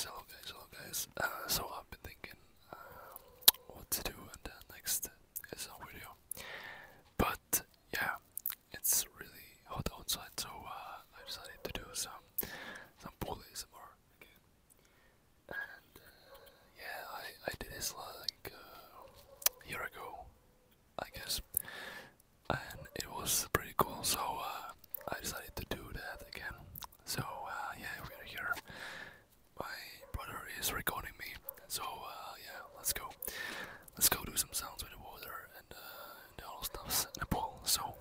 hello guys, hello guys. Uh, so I've been thinking um, what to do in the next SL video. But yeah, it's really hot outside, so uh, I decided to do some some pool ASMR again. And uh, yeah, I I did this like a year ago, I guess, and it was pretty cool. So I decided to do that again. So uh, yeah, we're here. My brother is recording me. So uh, yeah, let's go. Let's go do some sounds with the water and, the uh, all the stuff in the pool. So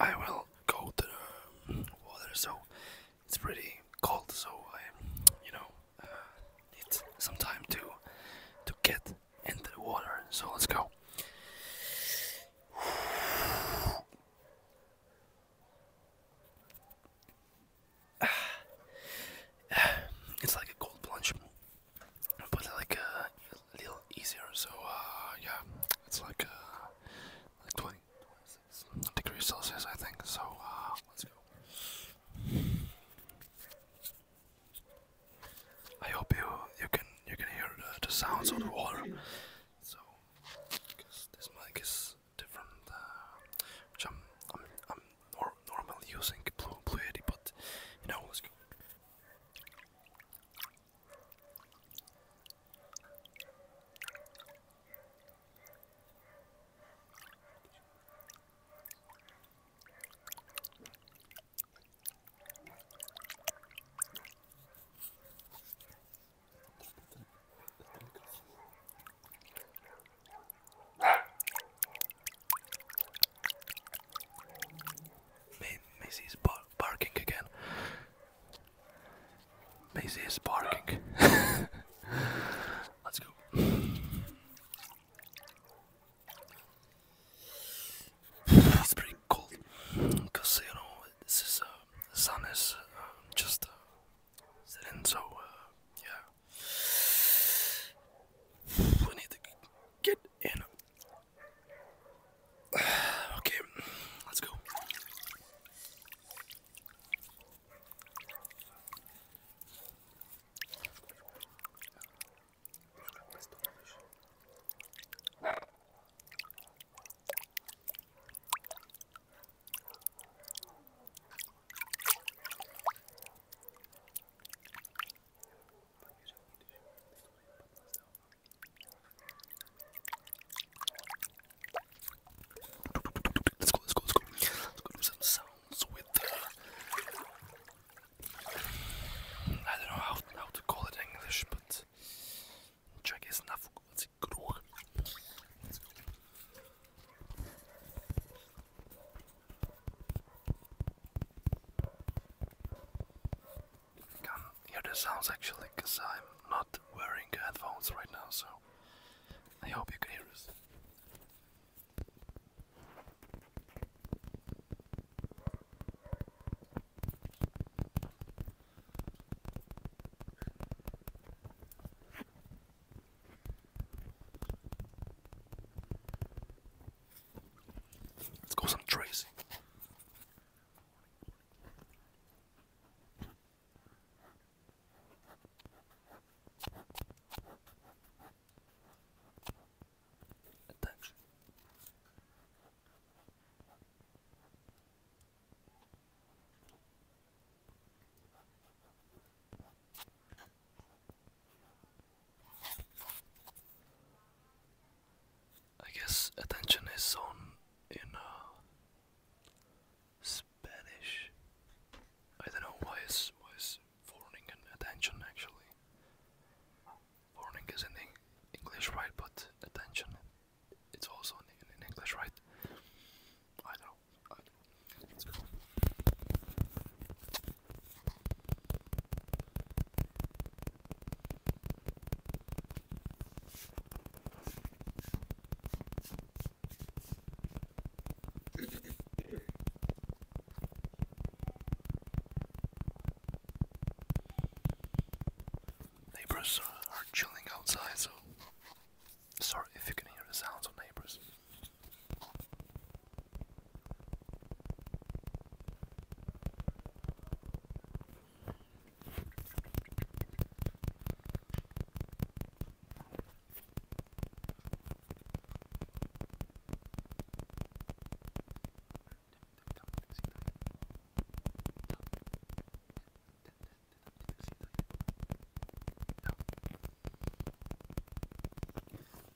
I will go to the um, water. So it's pretty cold. So I, you know, uh, need some time to to get into the water. So let's go. It's like a cold plunge, but like uh, a little easier. So uh, yeah, it's like uh, like 20, degrees Celsius, I think. So let's go. I hope you you can you can hear the, the sounds of the water. So, because this mic is different, uh, which I'm I'm I'm nor normally using Blue Blue Yeti, but you know, Maisie is bar barking again. Maisie is barking. Let's go. It's pretty cold because you know this is uh, the sun is uh, just uh, setting, so yeah, we need to get in. Okay, let's go let Let's go, let's go, let's go. Let's go do some sounds with uh, I don't know how, how to call it English, but can hear the sounds actually, cause I'm not wearing headphones right now, so I hope you can hear us. Let's go some tracing. Attention. I guess attention is on you uh, know. Spanish. I don't know why is why is warning and attention actually warning is in English, right? But attention, it's also in English, right? I don't know. Let's go. Neighbors are chilling outside, so sorry if you can hear the sounds of neighbors.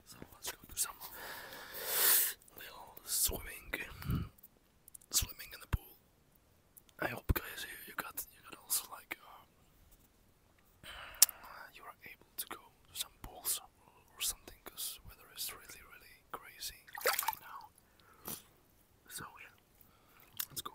So let's go little swimming, swimming in the pool. I hope guys you, you got you got also like um, you are able to go to some pools or something because weather is really really crazy right now. So yeah, let's go.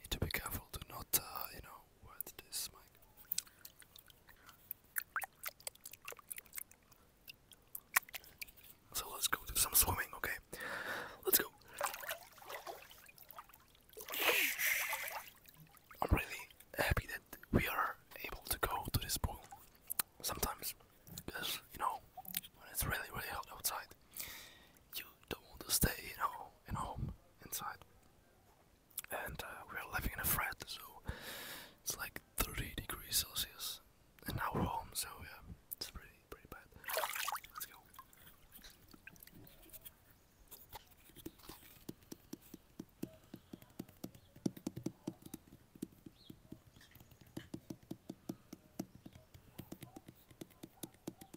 Need to be careful to not, uh, you know, wet this mic. So let's go do some swimming, okay? Let's go. I'm really happy that we are able to go to this pool sometimes because you know when it's really really hot outside you don't want to stay you know now in home inside, and uh, we're living in a flat, so it's like 30 degrees Celsius and now we're home. So yeah, it's pretty pretty bad. Let's go.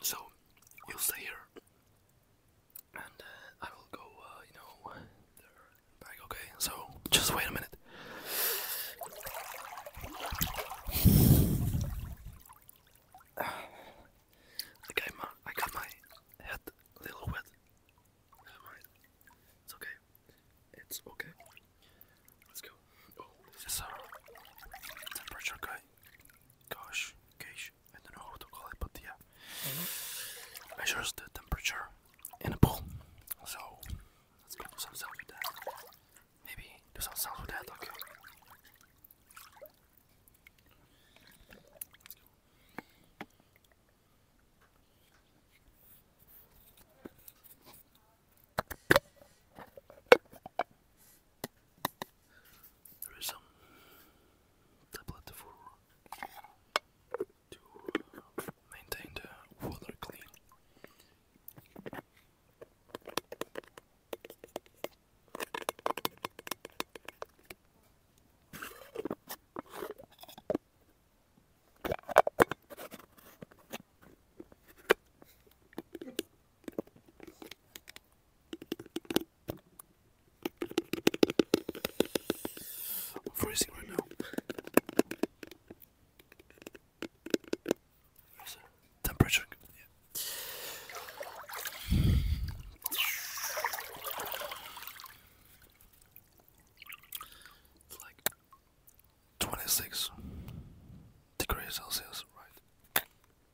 So you'll stay here, and uh, I will go. Uh, you know, back. Okay. So just wait a minute. I got my I got my head a little wet. Never mind. It's okay. It's okay. Let's go. Oh, is a uh, temperature guy gosh, gosh, I don't know how to call it, but yeah, measures the temperature in a pool. So let's go do some with that. Maybe do some with that. Okay. There is some tablet for to uh, maintain the water clean. I'm freezing right now. temperature? Yeah. It's like 26 degrees Celsius, right?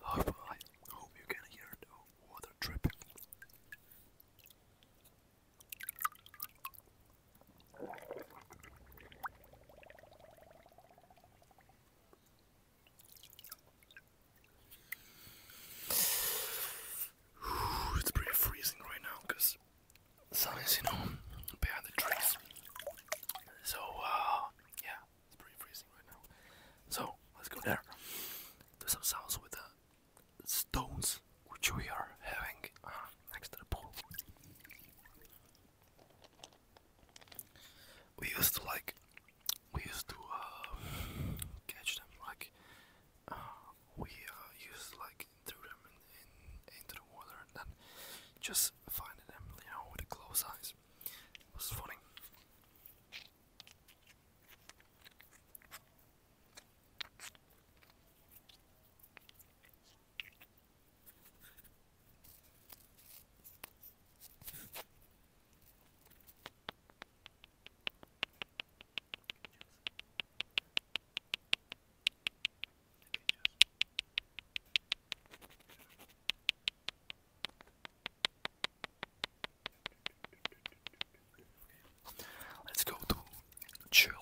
Hope I hope you can hear the water dripping. It's pretty freezing right now because the sun is, you know, behind the trees. So, uh, yeah, it's pretty freezing right now. So, let's go there. Do some sounds with the stones which we are having uh, next to the pool. We used to like, we used to uh, catch them like, uh, we uh, used to like throw them in, in, into the water and then just finding them, you know, with the closed eyes. It was funny. Let's go to chill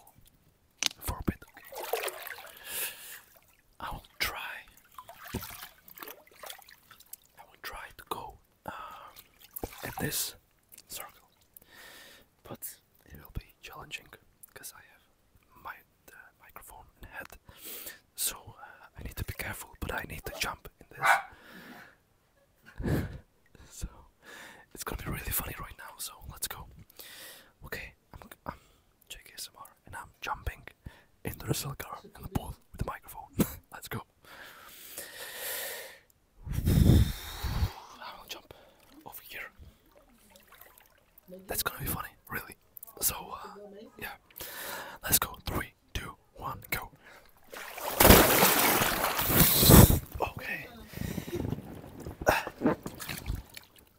for a bit. Okay. I will try. I will try to go um, uh, at this circle, but it will be challenging because I have my microphone and head, so uh, I need to be careful. But I need to jump in this. so it's gonna be really funny right now. So let's go. Okay, JKSMR, and I'm jumping into the silk car in the pool with the microphone. Let's go. I'll jump over here. That's gonna be funny, really. So, uh, yeah. Let's go. Three, two, one, go. Okay.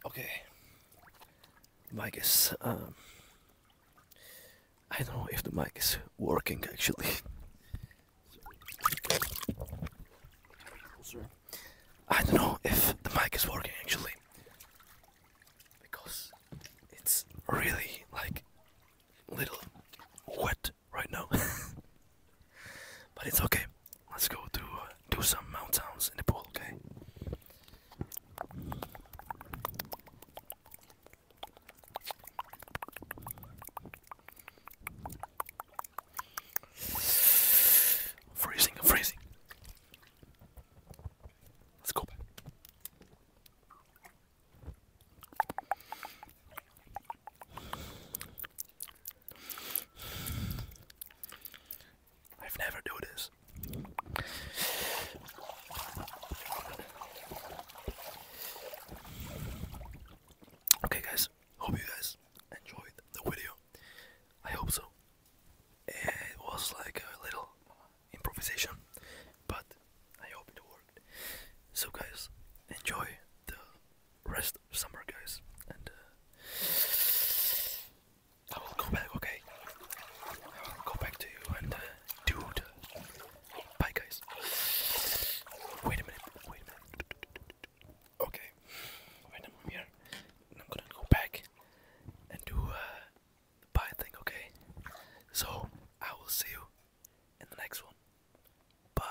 Okay. Mic is. Um, I don't know if the mic is working actually. I don't know if the mic is working actually. Because it's really like little wet right now. but it's okay. Let's go do uh, do some mountains in the pool, okay? Freezing, freezing. Let's go I've never do this. Okay guys, hope you guys enjoyed the video. I hope so. It was like a little improvisation, but I hope it worked. So guys, enjoy the rest summer guys, and uh, I will go back. Okay, I will go back to you and do uh, dude. Bye, guys. Wait a minute. Wait a minute. Okay, wait, I'm here. I'm gonna go back and do uh, the pie thing. Okay, so I will see you in the next one. Bye.